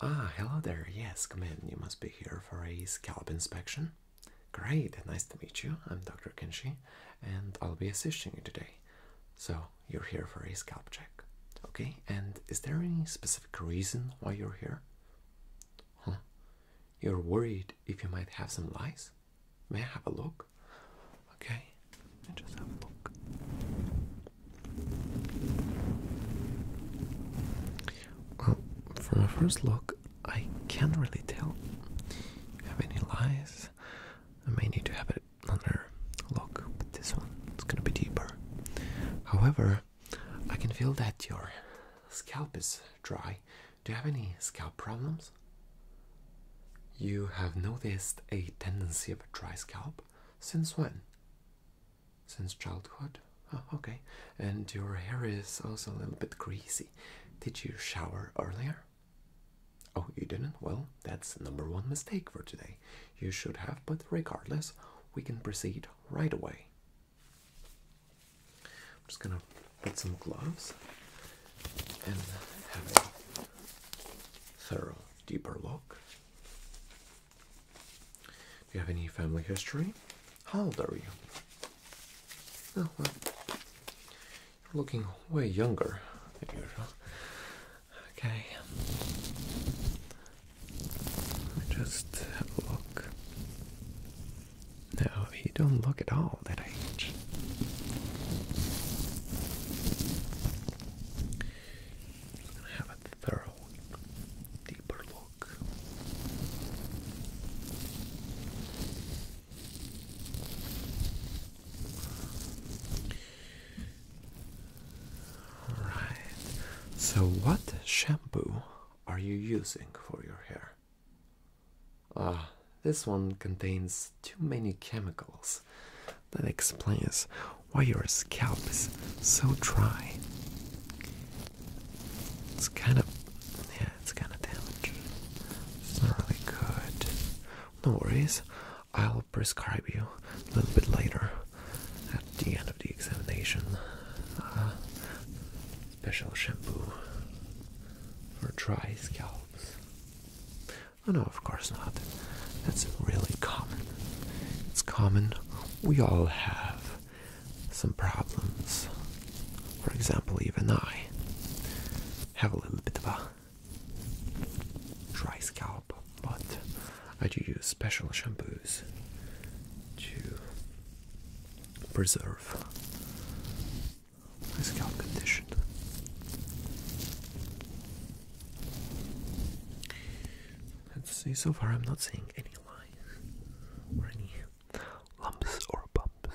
Ah, hello there. Yes, come in. You must be here for a scalp inspection. Great, nice to meet you. I'm Dr. Kinshi, and I'll be assisting you today. So, you're here for a scalp check. Okay, and is there any specific reason why you're here? Huh? You're worried if you might have some lice? May I have a look? Okay? Let me just have a look. Well, from a first look, I can't really tell have any lies. I may need to have another look, but this one is gonna be deeper. However, I can feel that your scalp is dry. Do you have any scalp problems? You have noticed a tendency of a dry scalp? Since when? Since childhood? Oh, okay. And your hair is also a little bit greasy. Did you shower earlier? Oh, you didn't? Well, that's number one mistake for today. You should have, but regardless, we can proceed right away. I'm just gonna Get some gloves and have a thorough, deeper look. Do you have any family history? How old are you? Oh, well, looking way younger than usual. Okay. Let me just have a look. No, you don't look at all have a thorough, deeper look. Alright, so what shampoo are you using for your hair? Ah, this one contains too many chemicals. That explains why your scalp is so dry. It's kind of, yeah, it's kind of damaged. It's not really good. No worries, I'll prescribe you a little bit later at the end of the examination. Uh, special shampoo for dry scalps. Oh no, of course not. That's really common. It's common. We all have some problems. For example, even I have a little bit of a dry scalp, but I do use special shampoos to preserve Let's see, so far I'm not seeing any lines or any lumps or bumps. I'm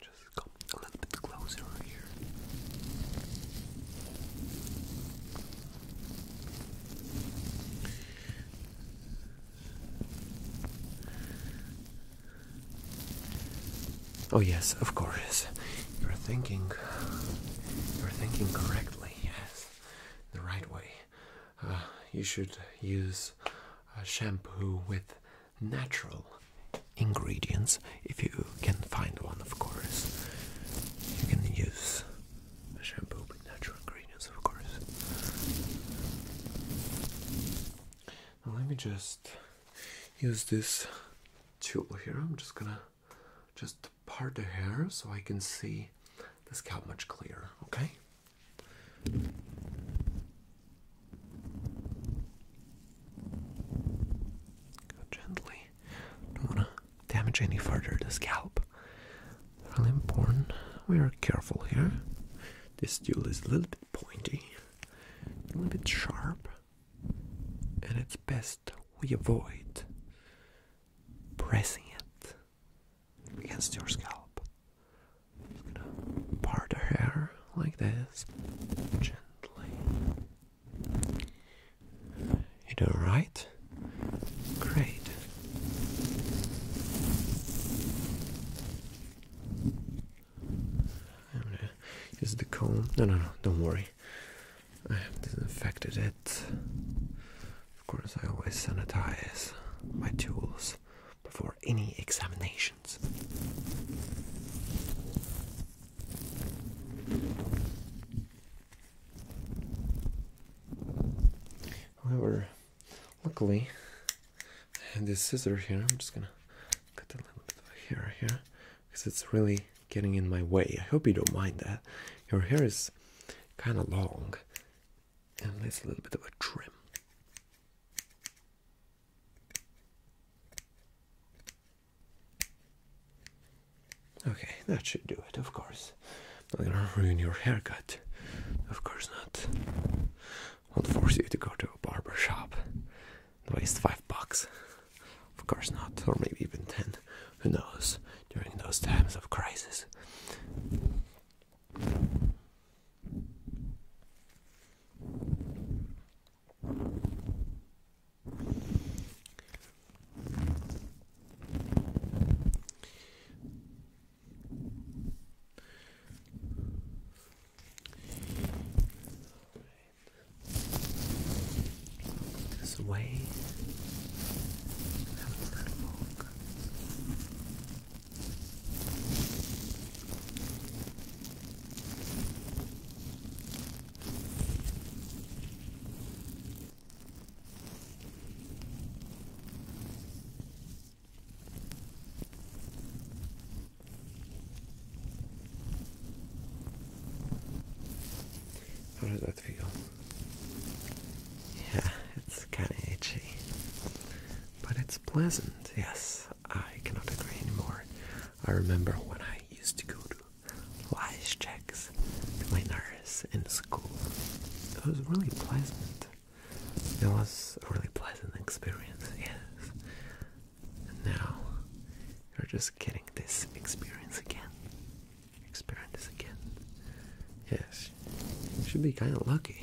just come a little bit closer Oh, yes, of course. You're thinking. You're thinking correctly, yes. The right way. Uh, you should use a uh, shampoo with natural ingredients, if you can find one, of course. You can use a shampoo with natural ingredients, of course. Now let me just use this tool here. I'm just gonna just part the hair so I can see this scalp much clearer, okay? gently. Don't wanna damage any further the scalp. Really important. We are careful here. This tool is a little bit pointy, a little bit sharp, and it's best we avoid pressing it against your scalp. I'm gonna part the hair like this, gently, you doing all right? Great. I'm gonna use the comb. No, no, no, don't worry. I have disinfected it. Of course, I always sanitize my tools before any examination. However, luckily, I have this scissor here. I'm just gonna cut a little bit of hair here because it's really getting in my way. I hope you don't mind that. Your hair is kind of long and needs a little bit of a trim. Okay, that should do it, of course. not gonna ruin your haircut. Of course not. Won't force you to go to a barber shop waste five bucks. Of course not, or maybe even ten. Who knows? During those times of crisis. This way, how does that feel? Yeah, it's kind of itchy but it's pleasant. Yes, I cannot agree anymore. I remember when I used to go to lice checks to my nurse in school. It was really pleasant. It was a really pleasant experience, yes. now you're just getting this experience again. Experience again. Yes, you should be kind of lucky.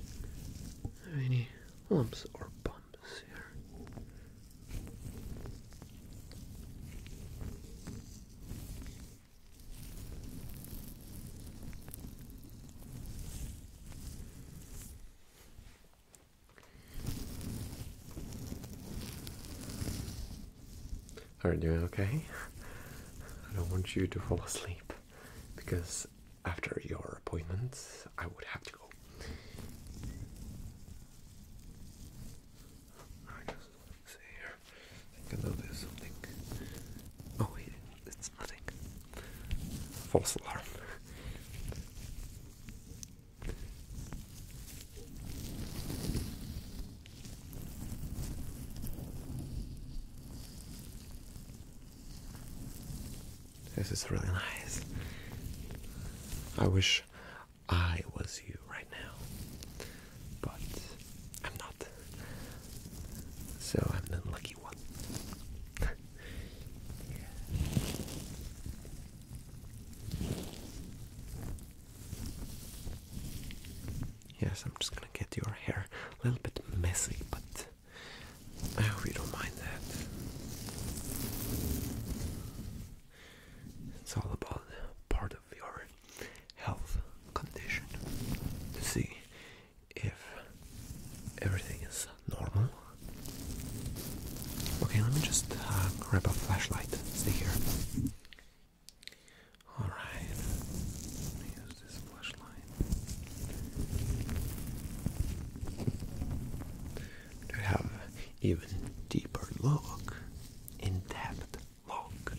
if there any lumps or bumps here. Are you doing okay? I don't want you to fall asleep because after your appointment, I would have to go. I just see here. I think I know something. Oh, it's nothing. False alarm. This is really nice. I wish I was you right now, but I'm not. So I'm the unlucky one. Yes, I'm just gonna get your hair a little bit messy, but I hope you don't mind that. It's all about part of your health condition to see if everything is normal. Okay, let me just uh, grab a flashlight. Stay here. All right. Let me use this flashlight to have even deeper look, in-depth look.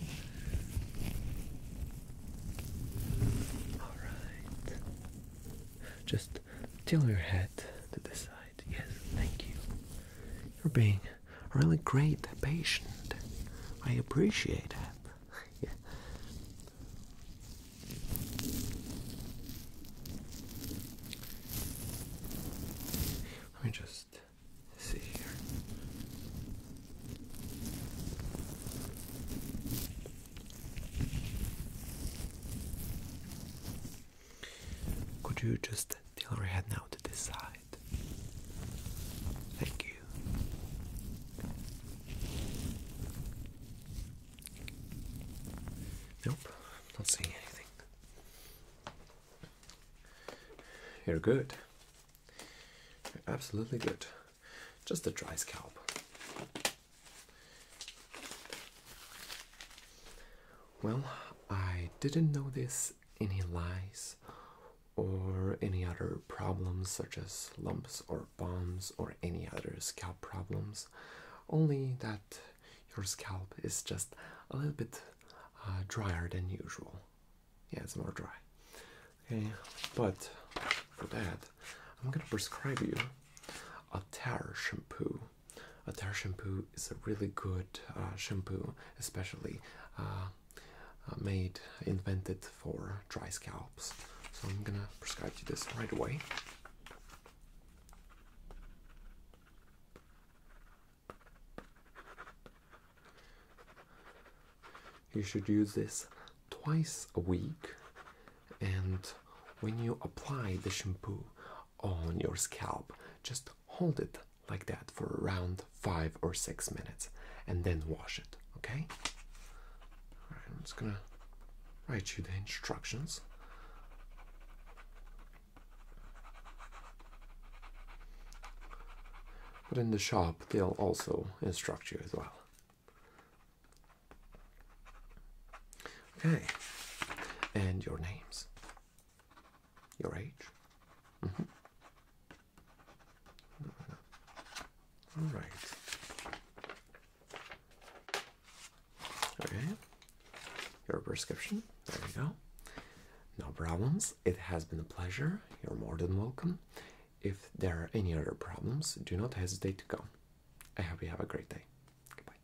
All right. Just tilt your head to the side. Yes, thank you. You're being really great patient. I appreciate it. Let me just see here. Could you just tilt your head now to this side? Thank you. Nope, not seeing anything. You're good. You're absolutely good. Just a dry scalp. Well, I didn't know this. any lies? or any other problems such as lumps or bumps or any other scalp problems, only that your scalp is just a little bit uh, drier than usual. Yeah, it's more dry. Okay, but for that, I'm gonna prescribe you a tar shampoo. A tar shampoo is a really good uh, shampoo especially uh, uh, made invented for dry scalps. So I'm gonna prescribe you this right away. You should use this twice a week, and when you apply the shampoo on your scalp. Just hold it like that for around five or six minutes and then wash it, okay? I'm just gonna write you the instructions. But in the shop, they'll also instruct you as well. Okay, and your names. Your age? -hmm. All right. Okay. Your prescription. There we go. No problems. It has been a pleasure. You're more than welcome. If there are any other problems, do not hesitate to come. I hope you have a great day. Goodbye.